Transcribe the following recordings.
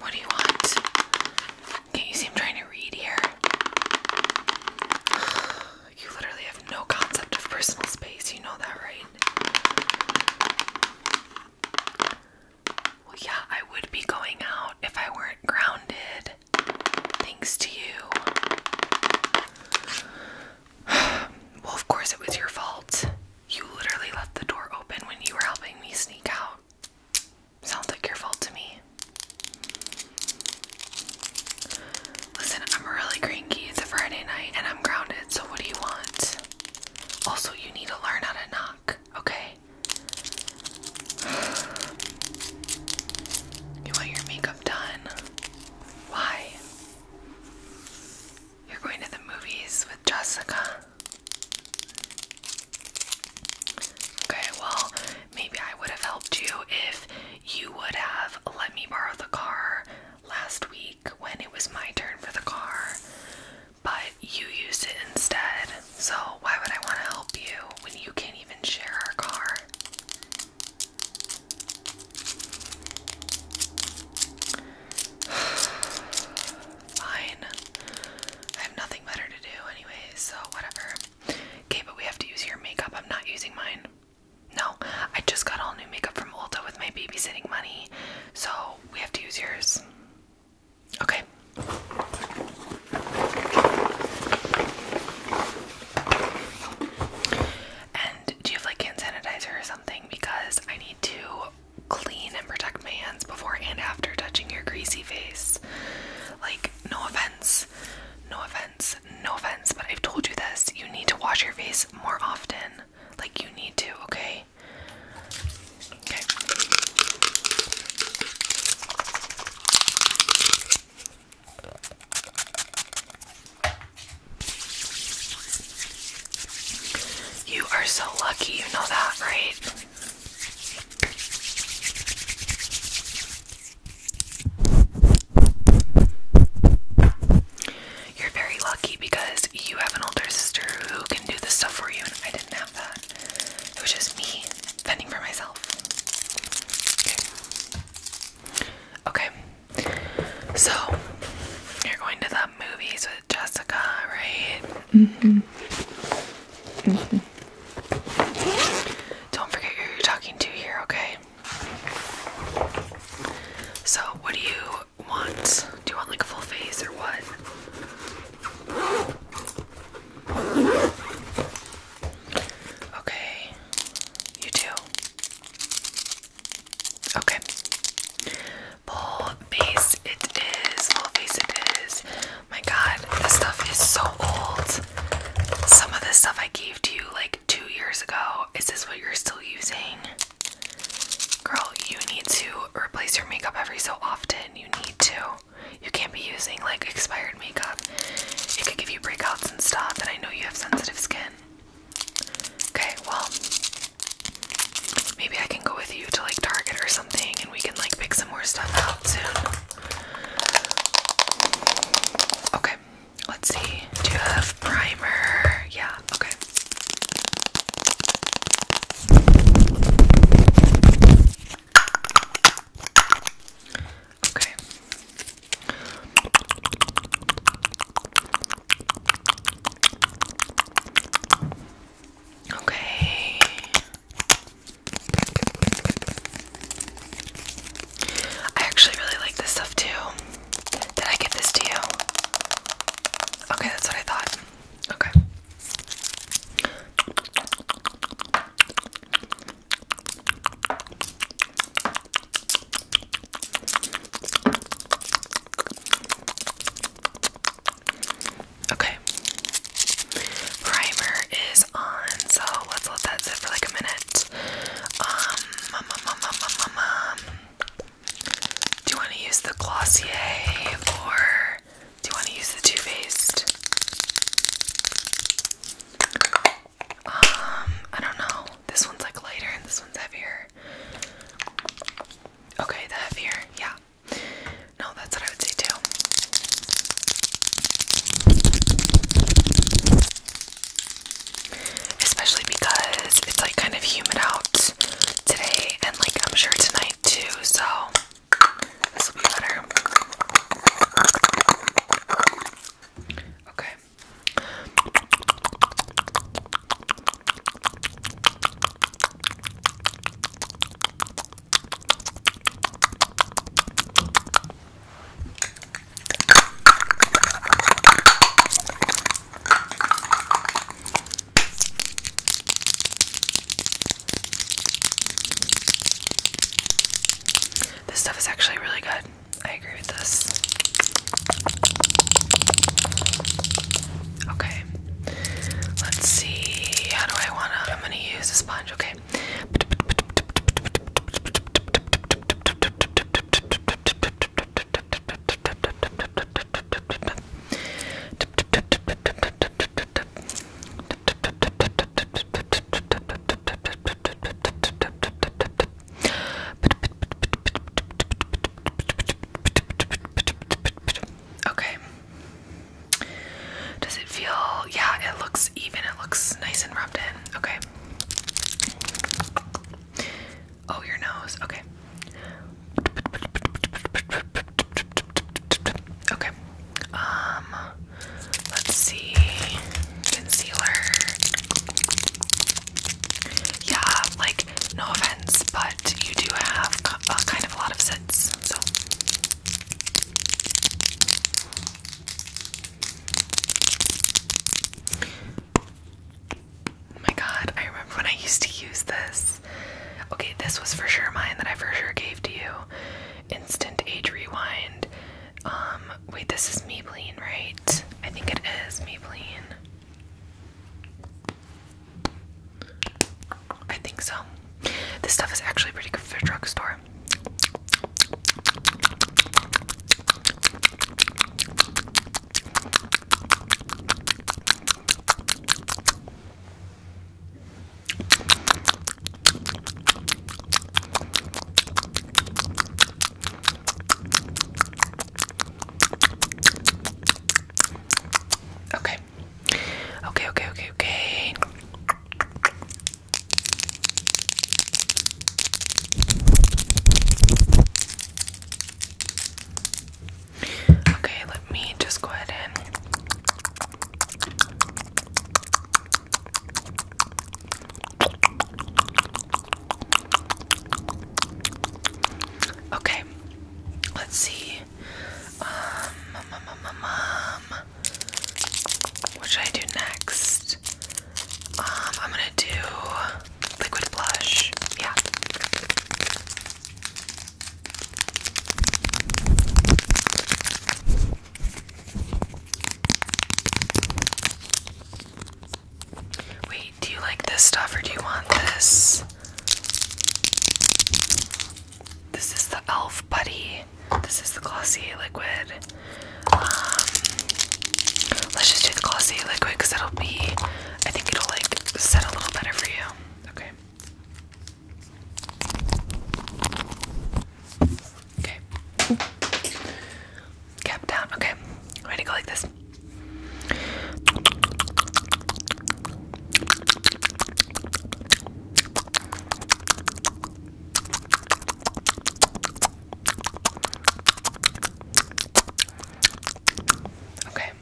What do you want? Can't you see I'm trying to read here? You literally have no concept of personal space, you know that, right? Well, yeah, I would be going out if I weren't grounded. Thanks to you. well, of course, it was your fault. You literally left the door open when you were helping me sneak out. Sounds like your fault to me. Listen, I'm really cranky. It's a Friday night and I'm grounded, so what do you want? Also, you need to learn how to not okay? You want your makeup done? Why? You're going to the movies with Jessica? Okay, well, maybe I would have helped you if you would have let me borrow the car last week when it was my turn for the car. But you used it instead. So why would I want to help you when you can't even share our car? Fine. I have nothing better to do anyways, so whatever. Okay, but we have to use your makeup. I'm not using mine. No, I just got all new makeup from Ulta with my babysitting money, so we have to use yours. Okay. And do you like hand sanitizer or something? Because I need to clean and protect my hands before and after touching your greasy face. Like, no offense, no offense, no offense, but I've told you this. You need to wash your face more often. Like, you need to, okay? You are so lucky, you know that, right? You're very lucky because you have an older sister who can do this stuff for you, and I did did that. It was just me fending for myself. Okay. So you're going to the movies with Jessica, right? Mm-hmm. Mm-hmm. Don't forget who you're talking to here, okay? So, what do you want? Do you want like a full face or what? Okay, you too. Okay. Full face it is. Full face it is. My god, this stuff is so old. Some of this stuff I gave to you like two years ago. Is this what you're still using? Girl, you need to replace your makeup every so often. You need to. You can't be using like expired makeup. It could give you breakouts and stuff, and I know you have sensitive skin. Okay, well, maybe I can go with you to like Target or something and we can like pick some more stuff out soon. Okay, let's see. Do you have primer? Yeah, okay. Okay. Okay. I actually really like this stuff too. Did I get this to you? Okay, that's what I thought. Okay. Okay. Primer is on, so let's let that sit for like a minute. Um, do you want to use the Glossier or do you want to use the Too Faced? Um, I don't know. This one's like lighter and this one's heavier. Okay, the heavier, yeah. No, that's what I would say too. Especially because it's like kind of humid out today and like I'm sure tonight too, so this will be better. Okay. This stuff is actually really good. I agree with this. Okay. Let's see. How do I want to? I'm going to use a sponge. Okay. Okay. Does it feel, yeah, it looks even, it looks nice and rubbed in. Okay. Oh, your nose. Okay. Okay. Um, let's see. Concealer. Yeah, like, no offense, but you do have a kind of a lot of sets, so. Oh my god, I remember when I used to use this. Okay, this was for sure mine that I for sure gave to you. Instant age rewind. Um, wait, this is Maybelline, right? I think it is Maybelline. I think so. This stuff is actually pretty good for a drugstore. Okay. Okay, okay, okay, okay. Okay, let me just go ahead and Okay, let's see. Um, what should I do next? Um, I'm gonna do liquid blush. Yeah. Wait, do you like this stuff or do you want this? This is the e.l.f. Buddy. This is the Glossier Liquid. Um, let's just do the Glossier Liquid because it'll be, I think it'll like set a little better for you. Okay. Okay. Cap down. Okay. ready to go like this. Okay.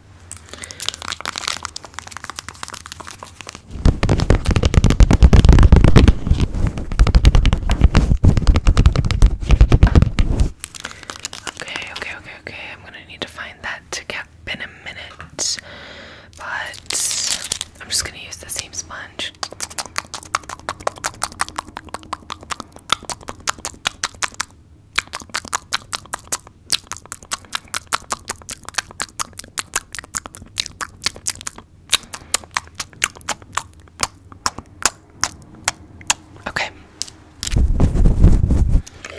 Okay, okay, okay, okay. I'm gonna need to find that cap in a minute, but I'm just gonna use the same sponge. Okay.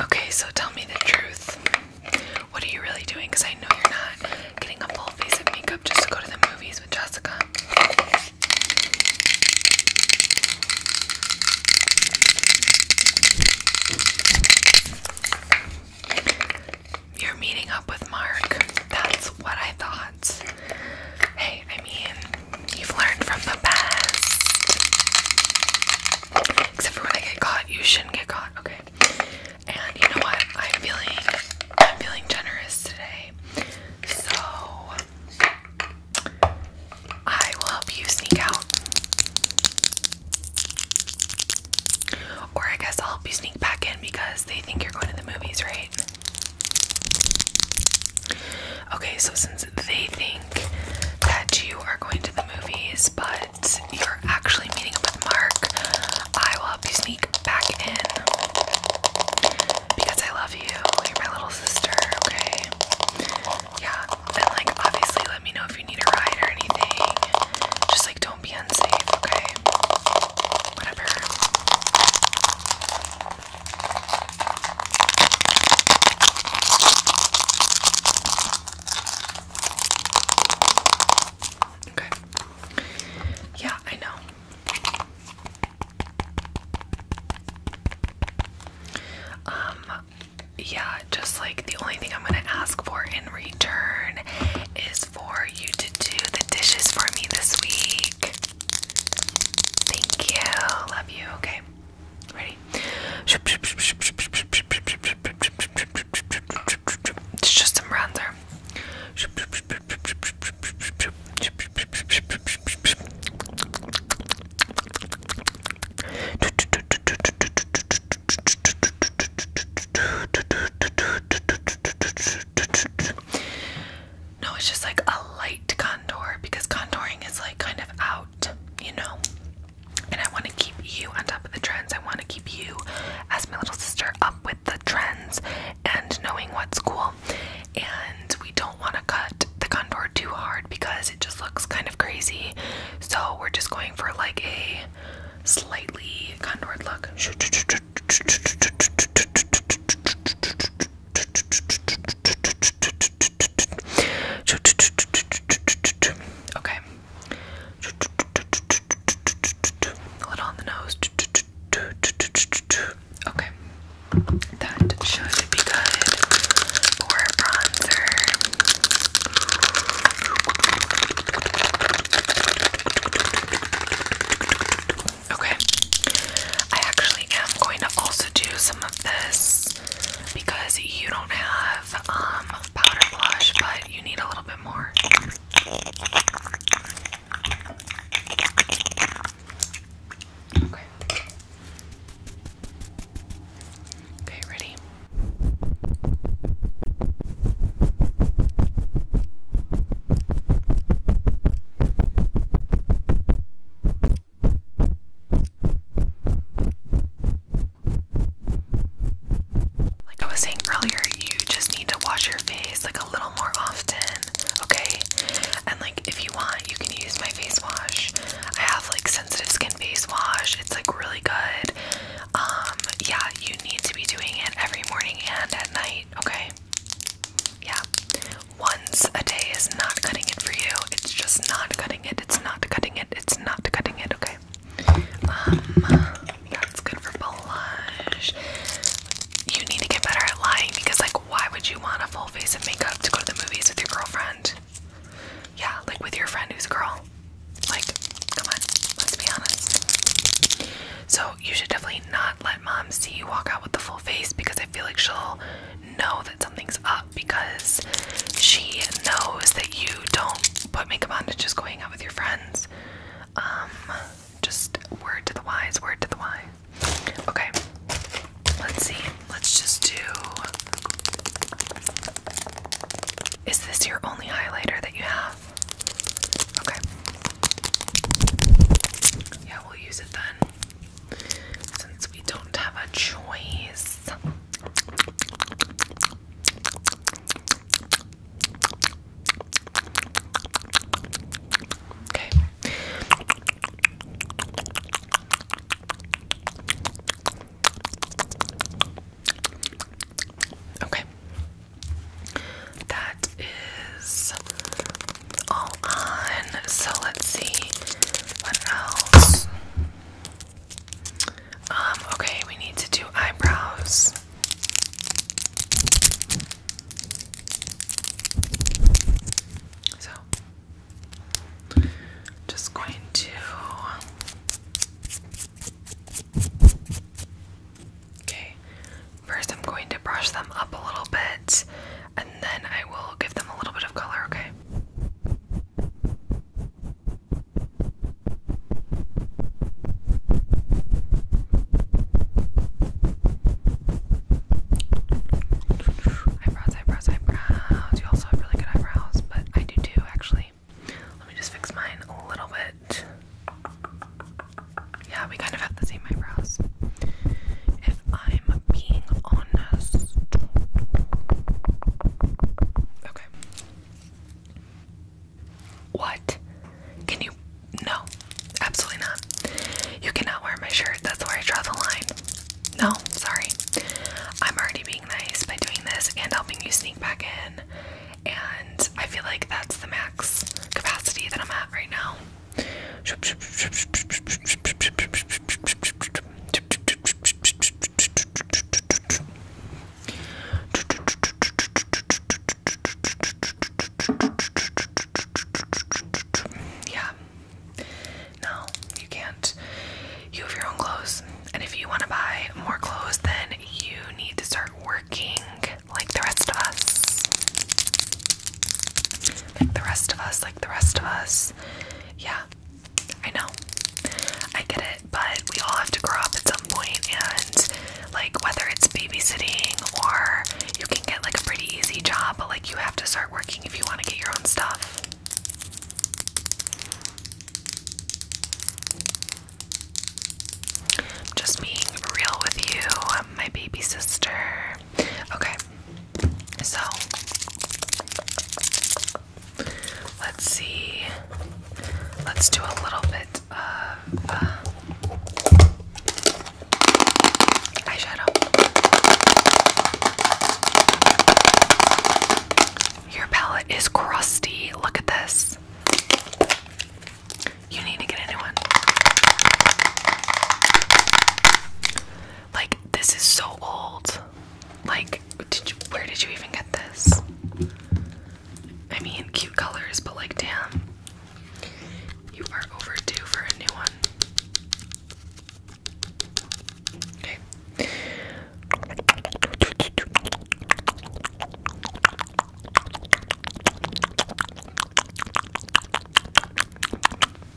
Okay, so tell me the truth. What are you really doing? Because I know you're not getting a full face of makeup just to go to the movies with Jessica. You're meeting up with Mark. That's what I thought. Hey, I mean, you've learned from the past. Except for when I get caught, you shouldn't get caught. Okay. And you know what? I'm feeling I'm feeling generous today. So I will help you sneak out. Or I guess I'll help you sneak back in because they think you're going to the movies, right? Okay, so since they think that you are going to the movies, but you're actually meeting up with Mark, I will help you sneak back in because I love you. You're my little sister, okay? Yeah, and like obviously, let me know if you need a ride or anything. Just like don't don't be unsafe, okay? Whatever. Okay. Yeah, I know. Um, yeah, just like the only thing I'm gonna ask for in return is for you to do the dishes for me this week. Thank you. Love you. Okay. Ready? It's just some bronzer. No, it's just like a light contour because contouring is like kind of out, you know. And I want to keep you on top of the trends. I want to keep you, as my little sister, up with the trends and knowing what's cool. And we don't want to cut the contour too hard because it just looks kind of crazy. So we're just going for like a slightly contoured look. Okay. A little on the nose. Okay. That should be good for bronzer. Okay. I actually am going to also do some of this because you don't have um powder blush, but you need a little bit more. Okay. Okay, ready? Like I was saying earlier, you just need to wash your face like a little more often, okay? And like if you want, you can use my face wash. I have like sensitive skin face wash. It's like really good. Um yeah, you need to be doing it every morning and at night, okay? Yeah. Once a day is not cutting it for you. It's just not cutting it. It's not cutting it. It's not cutting it. Okay. Um, that's good for blush. You need to get better at lying because, like, why would you want a full face of makeup to go to the movies with your girlfriend? Yeah, like with your friend who's a girl. Like, come on, let's be honest. So you should definitely not let mom see you walk out with the full face because I feel like she'll know that something's up because she knows that you don't put makeup on to just going out with your friends. Um, just word to the wise, word to the wise. Okay, let's see. Let's just do. Is this your only highlighter that you have? Okay. Yeah, we'll use it then. Since we don't have a choice. Okay. Okay that is all on. So let's see what else. Um, okay, we need to do eyebrows. So just going to Okay, First, I'm going to brush them up a little bit and then I will give them a little bit of color, okay? Eyebrows, eyebrows, eyebrows. You also have really good eyebrows, but I do too, actually. Let me just fix mine a little bit. Yeah, we kind of have the same eyebrows. If I'm being honest. Okay. What? Can you? No, absolutely not. You cannot wear my shirt. That's where I draw the line. No, sorry. I'm already being nice by doing this and helping you sneak back in. And I feel like that's the max capacity that I'm at right now. Yeah. No, you can't. You have your own clothes. And if you want to buy more clothes, then you need to start working like the rest of us. Like the rest of us, like the rest of us. Yeah, I know. I get it, but we all have to grow up at some point, and like whether it's babysitting or you can get like a pretty easy job, but like you have to start working if you want to get your own stuff. just being real with you. my baby sister. Okay, so let's see. Let's do a little bit of uh, eyeshadow. Your palette is crusty. Look at this. You need to get a new one. Like this is so old. Like where did you even get this? I mean cute colors, but like damn. You are overdue for a new one. Okay.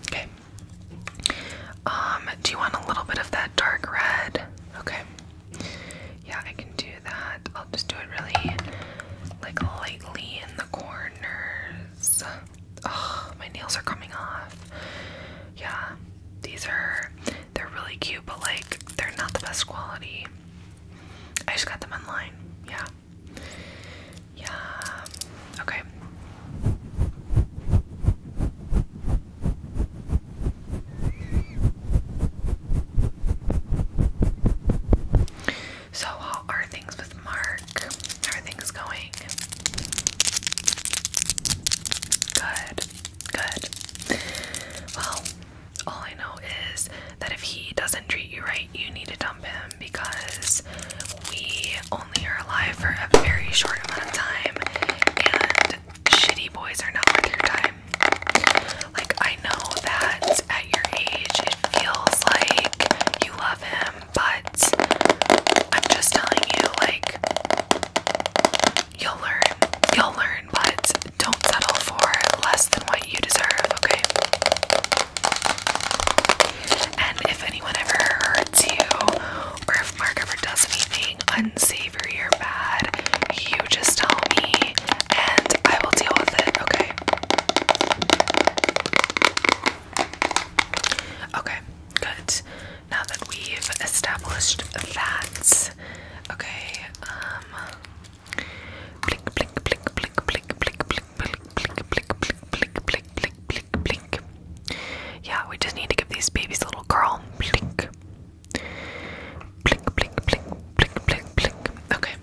Okay. Um, do you want a little bit of that dark red? Okay. Yeah, I can do that. I'll just do it really like lightly in the corners. Oh, my nails are coming off. Yeah. These are they're really cute, but like they're not the best quality. I just got them online. Yeah. Yeah. Okay. So, how are things with Mark? How are things going? Good, good. Well, all I know is that if he doesn't treat you right, you need to dump him because we only are alive for a very short amount of time and shitty boys are not worth your time. Like, I know that at your age it feels like you love him, but I'm just telling you, like, you'll learn. You'll learn, but don't settle for less than what you deserve, okay? And if anyone ever hurts you, or if Mark ever does anything unsavory or bad, you just tell me and I will deal with it, okay? Okay, good. Now that we've established that, okay, um, blink, blink, blink, blink, blink, blink, blink, blink, blink, blink, blink, blink, blink, blink, blink, blink, Yeah, we just need to give these babies a little curl. Blink. Blink, blink, blink, blink, blink, Okay.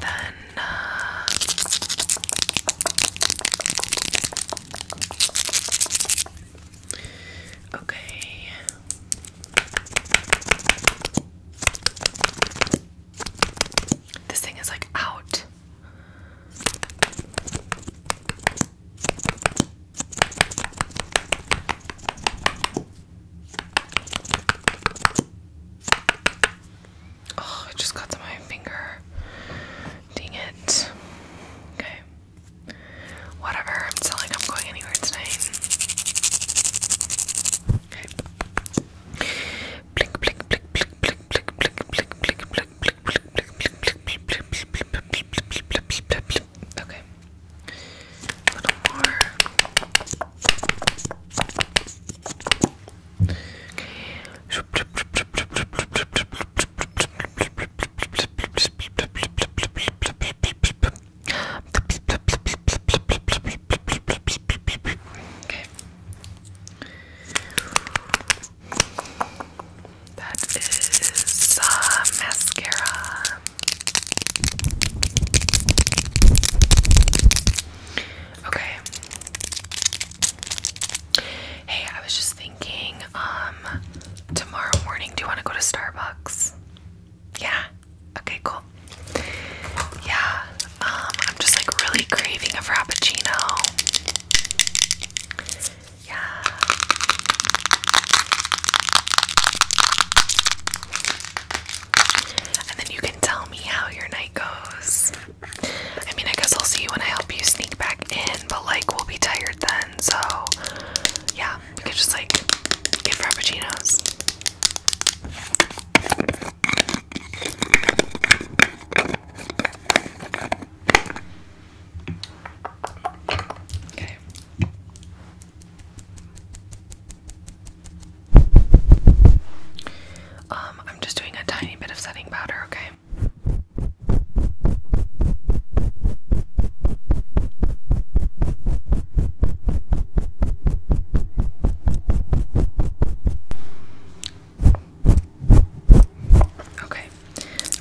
Then Okay. This thing is like out. Oh, it just got my finger. Dang it. Okay. Whatever, I'm telling I'm going anywhere tonight. Okay. Blink, blink, blink, blink, blink, blink, blink, blink, blink, blink, blink, blink, blink, Okay. A little more. Okay. Okay. That is the mascara. Okay. Hey, I was just thinking, um, tomorrow morning, do you want to go to Starbucks? Yeah. Okay, cool. Yeah, um, I'm just like really craving a frappuccino. Yeah. And then you can tell me how your night goes. I mean, I guess I'll see you when I help you sneak back in, but like we'll be tired then, so yeah, we could just like get frappuccinos. Okay. Um, I'm just doing a tiny bit of setting powder, okay? Okay,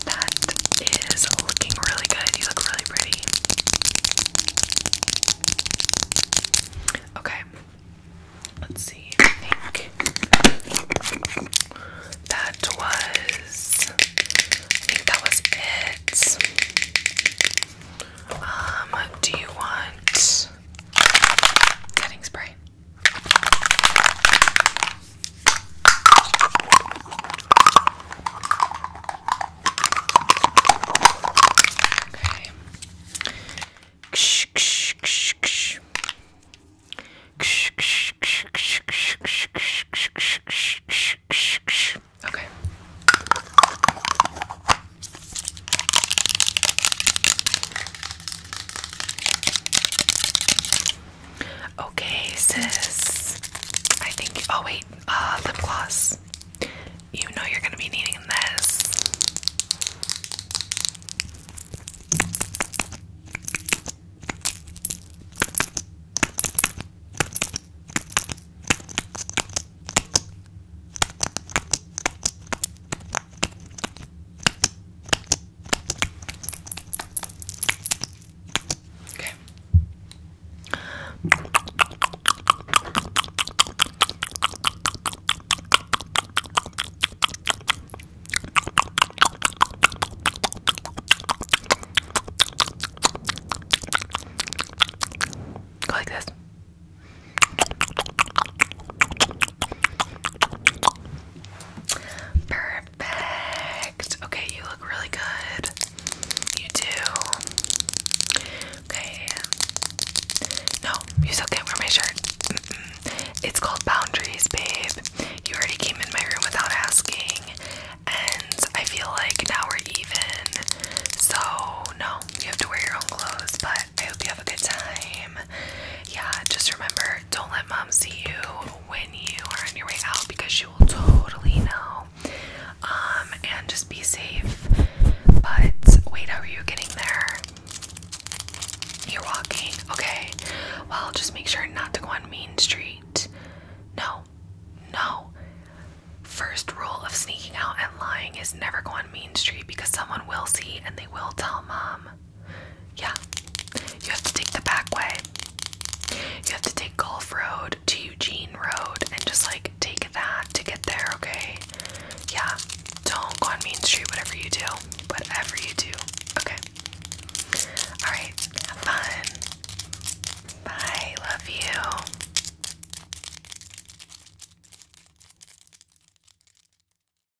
that is looking really good. You look really pretty. Okay, let's see. I think that was. I think that was it. Um, do you want setting spray? Okay. Ksh, ksh, ksh, ksh. Ksh, ksh, ksh, ksh, ksh, ksh, ksh, ksh, ksh, ksh, ksh, ksh. Okay. Okay, sis. I think. Oh, wait. Uh, lip gloss. You know you're gonna be needing this. Okay. Go like this. Perfect. Okay, you look really good. You do. Okay. No, you still can't wear my shirt. It's called boundaries, babe. You already came in my room without asking, and I feel like now we're even. So, no, you have to wear your own clothes, but I hope you have a good time. Yeah, just remember don't let mom see you when you are on your way out because she will totally know. Um, and just be safe. But wait, how are you getting there? You're walking. Okay. Well, just make sure not to go on Main Street. No. No. First rule of sneaking out and lying is never go on Main Street because someone will see and they will tell mom. Yeah. You have to take the back way. You have to take Golf Road to Eugene Road and just like take that to get there, okay? Yeah. Don't go on Main Street, whatever you do. Whatever you do. Okay. Alright. Have fun. Bye. Love you.